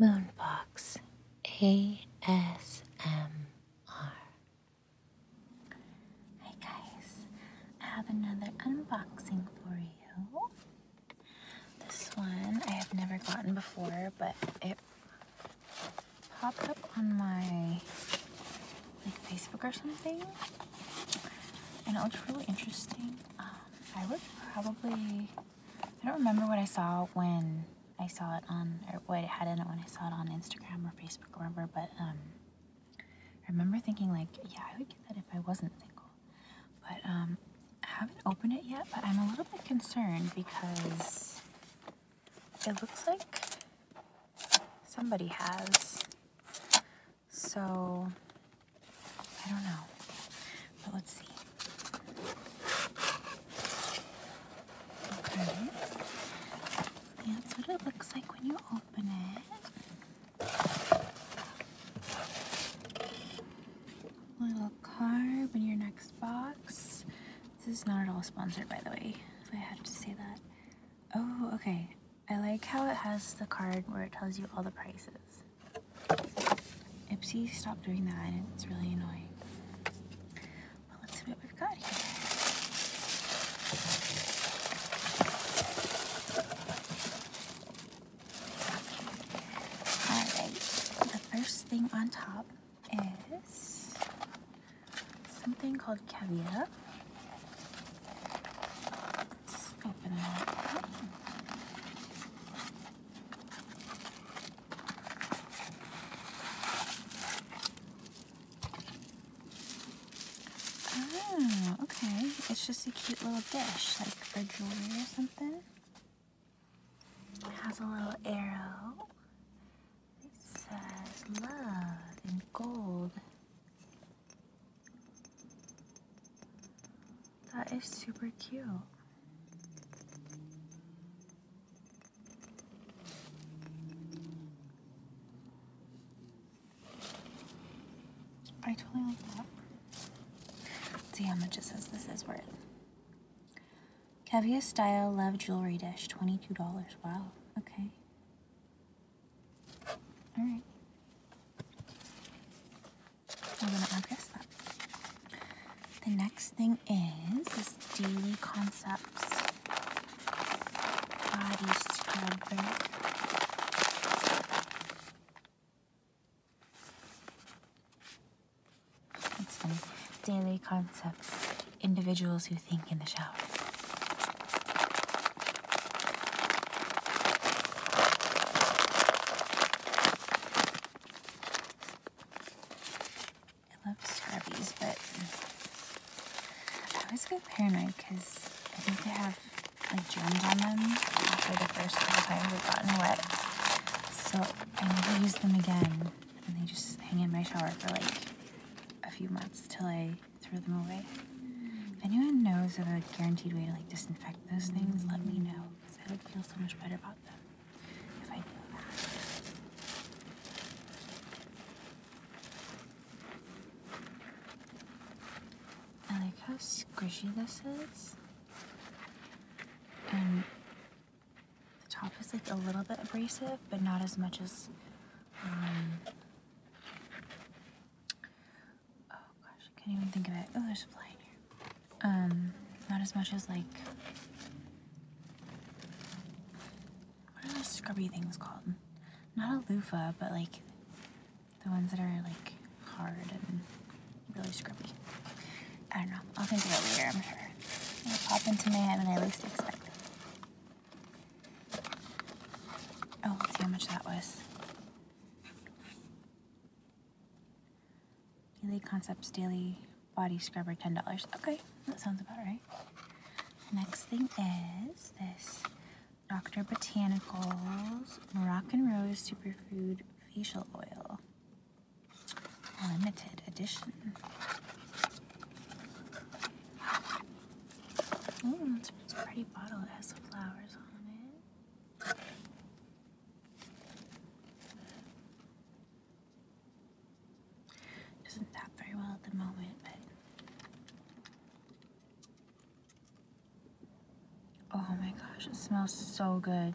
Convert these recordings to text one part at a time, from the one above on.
Moonbox ASMR. Hi guys, I have another unboxing for you. This one I have never gotten before, but it popped up on my like Facebook or something, and it looks really interesting. Um, I would probably I don't remember what I saw when I saw it on, or what it had in it when I saw it on Instagram or Facebook or whatever, but um, I remember thinking, like, yeah, I would get that if I wasn't single. But um, I haven't opened it yet, but I'm a little bit concerned because it looks like somebody has. So I don't know. But let's see. that's what it looks like when you open it. Little card in your next box. This is not at all sponsored, by the way, I have to say that. Oh, okay. I like how it has the card where it tells you all the prices. Ipsy, stop doing that, it's really annoying. But let's see what we've got here. Alright, the first thing on top is something called caviar. Let's open it up. Ah, okay. It's just a cute little dish, like for jewelry or something. It has a little arrow. It says love in gold. That is super cute. I totally like that. see how much it says this is worth. Caviar Style Love Jewelry Dish, $22. Wow, okay. Alright. The next thing is Daily Concepts Body Scrubber. It's Daily Concepts Individuals Who Think in the Shower. I love Scrubbies, but I always get paranoid because I think they have like germs on them after the first couple times they've gotten wet. So I never use them again, and they just hang in my shower for like a few months till I throw them away. If anyone knows of a guaranteed way to like disinfect those things, let me know because I would feel so much better about them. I like how squishy this is. And the top is like a little bit abrasive, but not as much as um, oh gosh, I can't even think of it. Oh, there's a fly in here. Um, not as much as like. What are those scrubby things called? Not a loofah, but like the ones that are like hard and really scrubby. I don't know. I'll think of it later, I'm sure. It'll pop into my head when I least expect it. Oh, let's see how much that was. Daily Concepts Daily Body Scrubber, $10. Okay, that sounds about right. Next thing is this Dr. Botanicals Moroccan Rose Superfood Facial Oil. Limited edition. Ooh, mm, it's a pretty bottle. It has some flowers on it. Doesn't tap very well at the moment, but. Oh my gosh, it smells so good.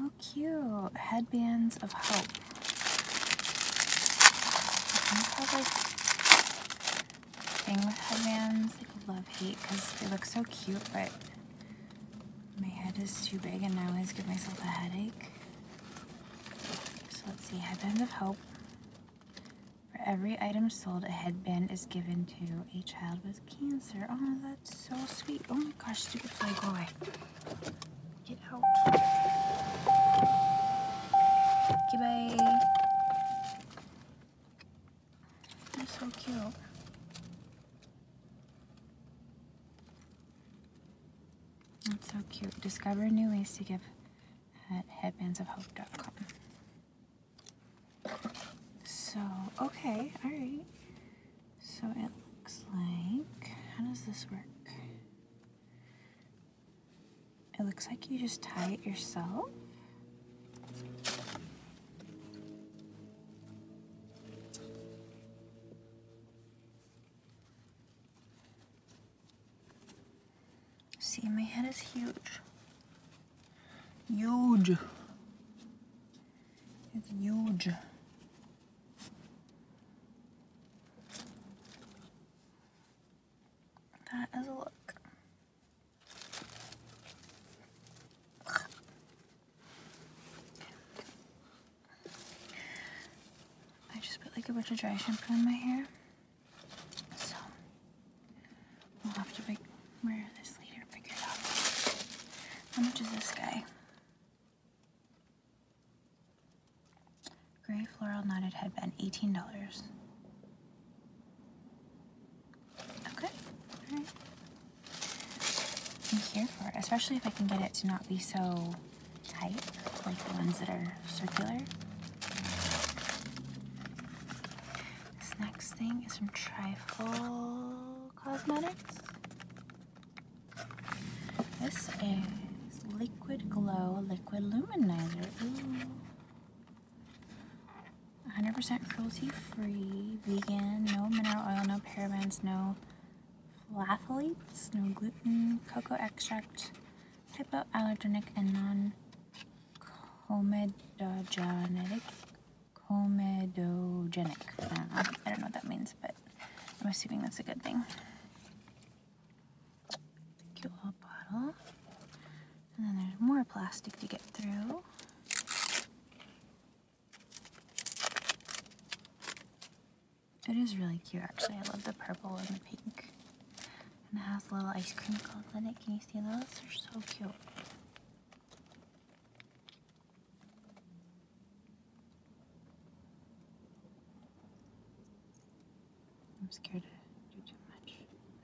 Oh, cute. Headbands of Hope. I have like thing with headbands, like love hate, because they look so cute, but my head is too big and I always give myself a headache. So let's see, headbands of hope. For every item sold, a headband is given to a child with cancer. Oh, that's so sweet. Oh my gosh, stupid fly, go away. Get out. Goodbye. Okay, you so cute. That's so cute. Discover new ways to give at headbandsofhope.com. So, okay, alright. So it looks like, how does this work? It looks like you just tie it yourself. See, my head is huge. Huge. It's huge. That is a look. I just put like a bunch of dry shampoo in my hair. So we'll have to figure this later figure it out. How much is this guy? Gray floral knotted headband, $18. Okay, alright. I'm here for it, especially if I can get it to not be so tight, like the ones that are circular. This next thing is from Trifle Cosmetics. This is Liquid Glow Liquid Luminizer. 100% cruelty free, vegan, no mineral oil, no parabens, no phthalates, no gluten, cocoa extract, hypoallergenic, and non comedogenic comedogenic. I don't know. what that means, but I'm assuming that's a good thing. Cute little bottle. And then there's more plastic to get through. It is really cute actually. I love the purple and the pink. And it has little ice cream cones in it. Can you see those? They're so cute. I'm scared to do too much.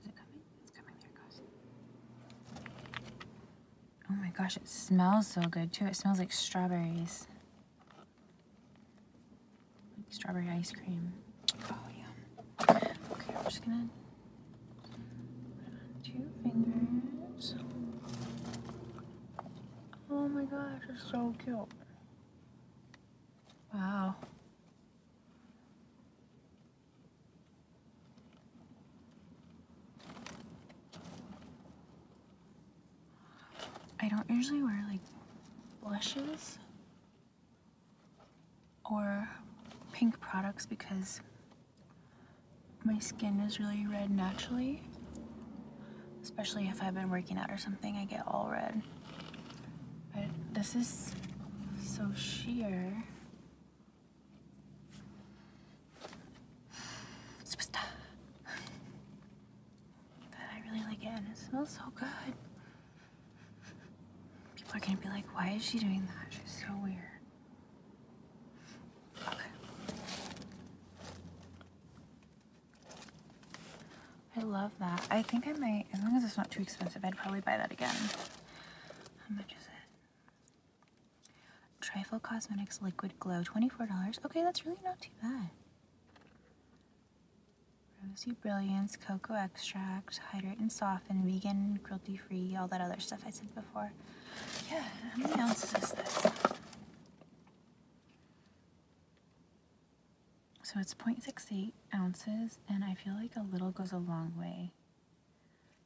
Is it coming? It's coming. Oh my gosh, it smells so good too. It smells like strawberries. Like strawberry ice cream. Oh, yum. Okay, I'm just gonna two fingers. Oh my gosh, it's so cute. Wow. I don't usually wear like blushes or pink products because my skin is really red naturally, especially if I've been working out or something, I get all red. But this is so sheer. Uh, but I really like it and it smells so good. People are gonna be like, why is she doing that? She's so weird. I love that. I think I might, as long as it's not too expensive, I'd probably buy that again. How much is it? Trifle Cosmetics Liquid Glow, $24. Okay, that's really not too bad. Rosy Brilliance, Cocoa Extract, Hydrate and Soften, Vegan, Cruelty Free, all that other stuff I said before. Yeah, how many ounces is this? So it's 0.68 ounces, and I feel like a little goes a long way.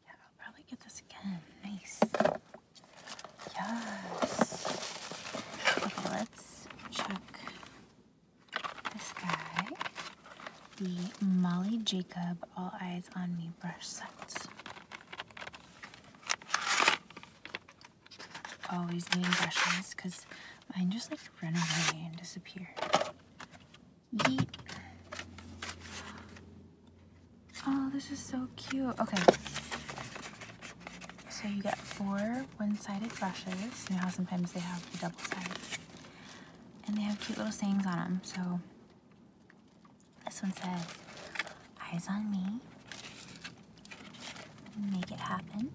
Yeah, I'll probably get this again. Nice. Yes. Okay, let's check this guy. The Molly Jacob All Eyes on Me brush set. Always need brushes because mine just like run away and disappear. Oh, this is so cute. Okay. So you get four one-sided brushes. You know how sometimes they have the double sided And they have cute little sayings on them. So this one says, Eyes on me. Make it happen.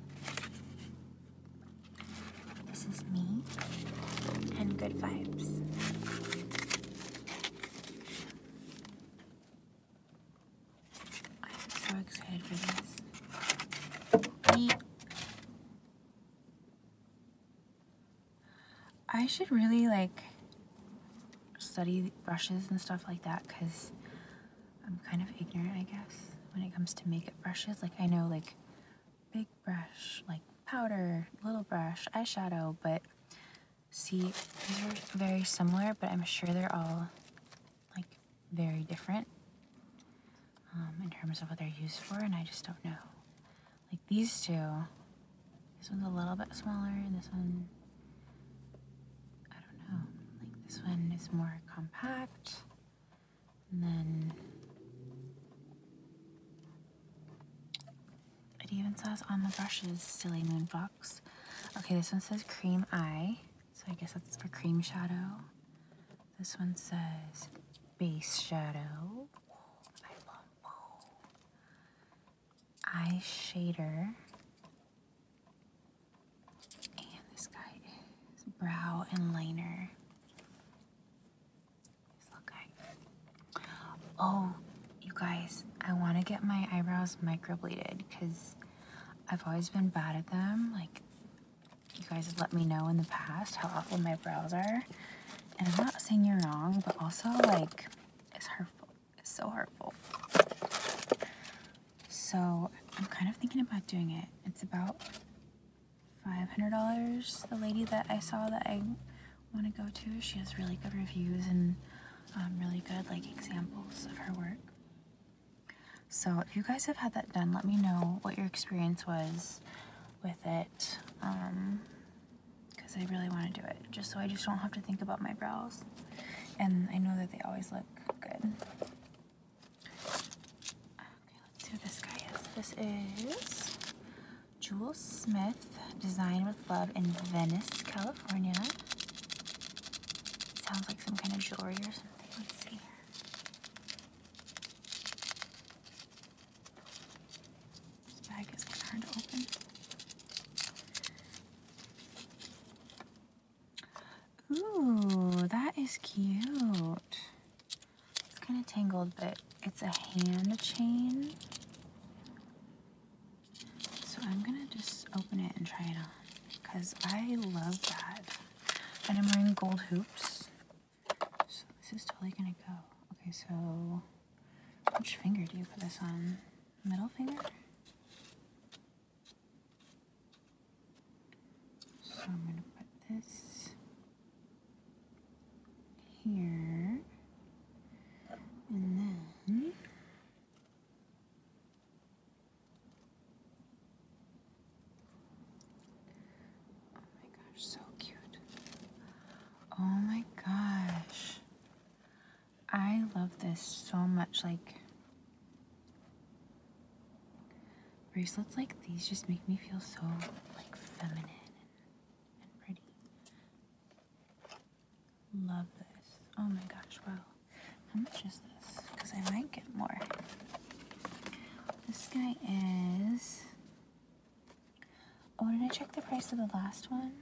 This is me. And good vibes. I'm so excited for this. Beep. I should really like study brushes and stuff like that because I'm kind of ignorant, I guess, when it comes to makeup brushes. Like, I know, like, big brush, like powder, little brush, eyeshadow, but see, these are very similar, but I'm sure they're all, like, very different um, in terms of what they're used for, and I just don't know. Like, these two this one's a little bit smaller, and this one, I don't know. Like this one is more compact, and then it even says on the brushes, silly moon fox. Okay, this one says cream eye, so I guess that's for cream shadow. This one says base shadow eye shader. And this guy is brow and liner. This little guy. Oh, you guys, I want to get my eyebrows microbladed because I've always been bad at them. Like, you guys have let me know in the past how awful my brows are. And I'm not saying you're wrong, but also, like, it's hurtful is so hurtful. So I'm kind of thinking about doing it. It's about $500. The lady that I saw that I want to go to, she has really good reviews and um, really good like examples of her work. So if you guys have had that done, let me know what your experience was with it. Um, because I really want to do it just so I just don't have to think about my brows and I know that they always look good. Okay, let's see who this guy is. This is Jewel Smith, Design with Love in Venice, California. Sounds like some kind of jewelry or something. Let's see. This bag is hard to open. Ooh, that is cute. It's kind of tangled, but it's a hand chain. So I'm gonna just open it and try it on because I love that. And I'm wearing gold hoops. So this is totally gonna go. Okay, so which finger do you put this on? middle finger. So I'm going to put this here and then oh my gosh so cute oh my gosh I love this so much. Like, bracelets like these just make me feel so, like, feminine and, pretty. Love this. Oh my gosh, wow. How much is this? Because I might get more. This guy is... Oh, did I check the price of the last one?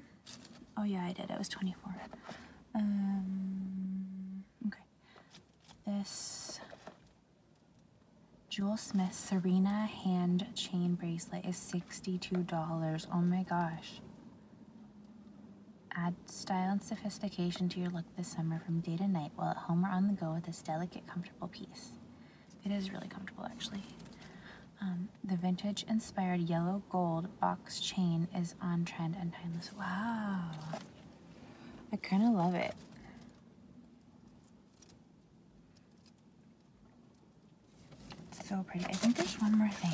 Oh yeah, I did. It was 24 um, okay. This Jewel Smith Serena hand chain bracelet is $62. Oh my gosh. Add style and sophistication to your look this summer from day to night while at home or on the go with this delicate, comfortable piece. It is really comfortable, actually. Um, the vintage inspired yellow gold box chain is on trend and timeless. Wow. I kind of love it. so pretty. I think there's one more thing.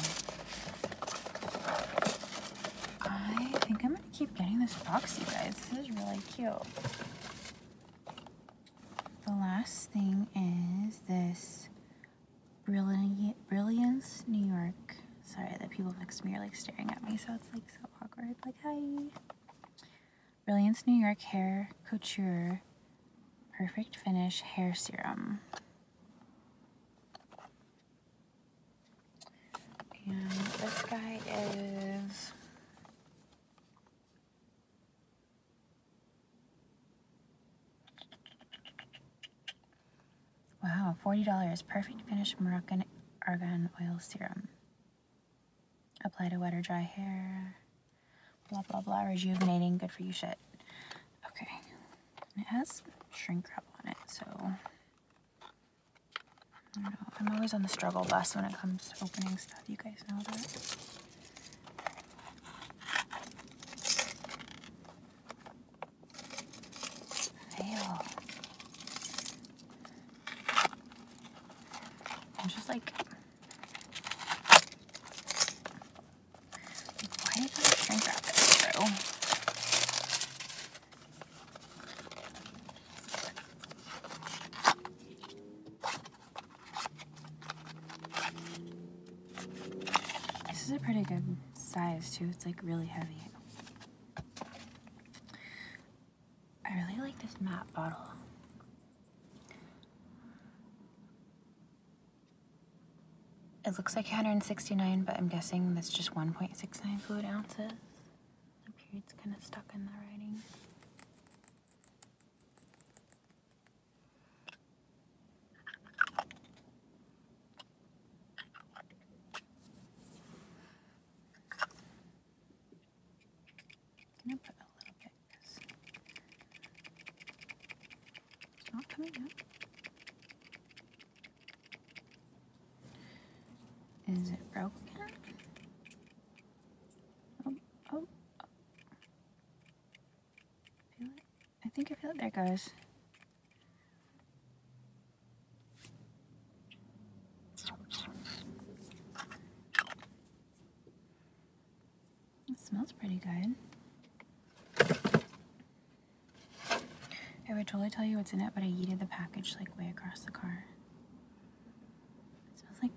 I think I'm going to keep getting this box, you guys. This is really cute. The last thing is this Brilliance, New York. Sorry, the people next to me are like staring at me, so it's like so awkward. Like, hi. Brilliance, New York Hair Couture Perfect Finish Hair Serum. And this guy is. Wow, $40. Perfect Finish Moroccan Argan Oil Serum. Apply to wet or dry hair. Blah, blah, blah. Rejuvenating. Good for you shit. Okay. It has shrink wrap on it, so... I don't know. I'm always on the struggle bus when it comes to opening stuff. You guys know that. I'm just like, why did I shrink through? This is a pretty good size too. It's like really heavy. I really like this matte bottle. It looks like 169, but I'm guessing that's just 1.69 fluid ounces. The period's kind of stuck in the writing going to put a little bit it's not coming up. Is it broken? oh, oh. I think I feel it there, guys. It smells pretty good. I would totally tell you what's in it, but I yeeted the package like way across the car. It smells like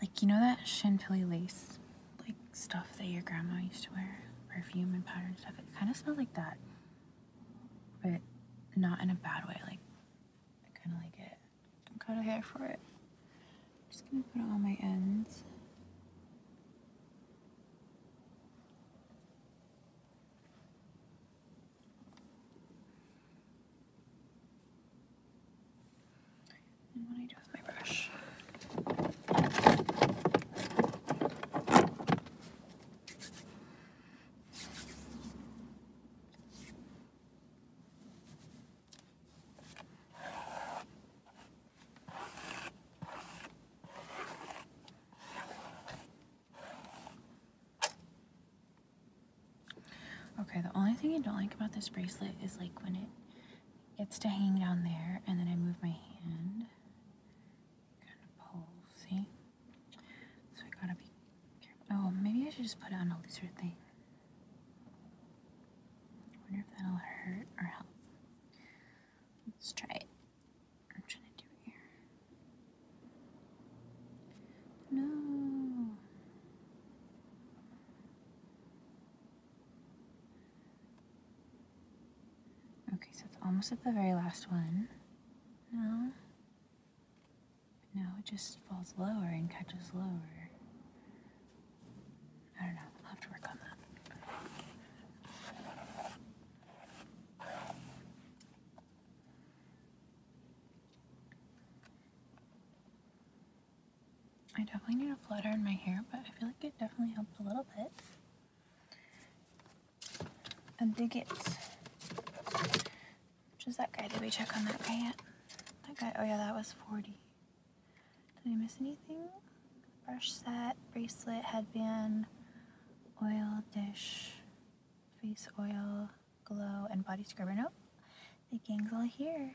like, you know that Chantilly lace, like, stuff that your grandma used to wear? Perfume and powder and stuff. It kind of smells like that. But not in a bad way. Like, I kind of like it. I'm kind of here for it. I'm just going to put it on my ends. Okay, the only thing I don't like about this bracelet is like when it it's to hang down there, and then I move my hand, kind of pull, see? So I gotta be Oh, maybe I should just put it on a looser thing. I wonder if that'll hurt or help. Let's try it. I'm trying to do here. No. Okay, so it's almost at the very last one. No. No, it just falls lower and catches lower. I don't know. I'll have to work on that. I definitely need a flutter in my hair, but I feel like it definitely helped a little bit. And A bigot. Which is that guy? Did we check on that guy yet? That guy. Oh yeah, that was 40. Did I miss anything? Brush set, bracelet, headband, oil dish, face oil, glow, and body scrubber. Nope. The gang's all here.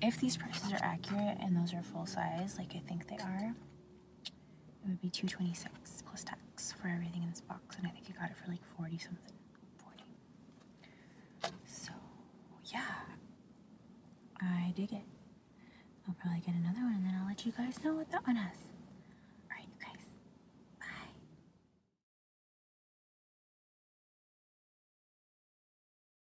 if these prices are accurate and those are full size, like I think they are, it would be 226 plus tax for everything in this box, and I think you got it for like 40 something. 40. So, yeah. I dig it. I'll probably get another one and then I'll let you guys know what that one is. Alright, you guys. Bye.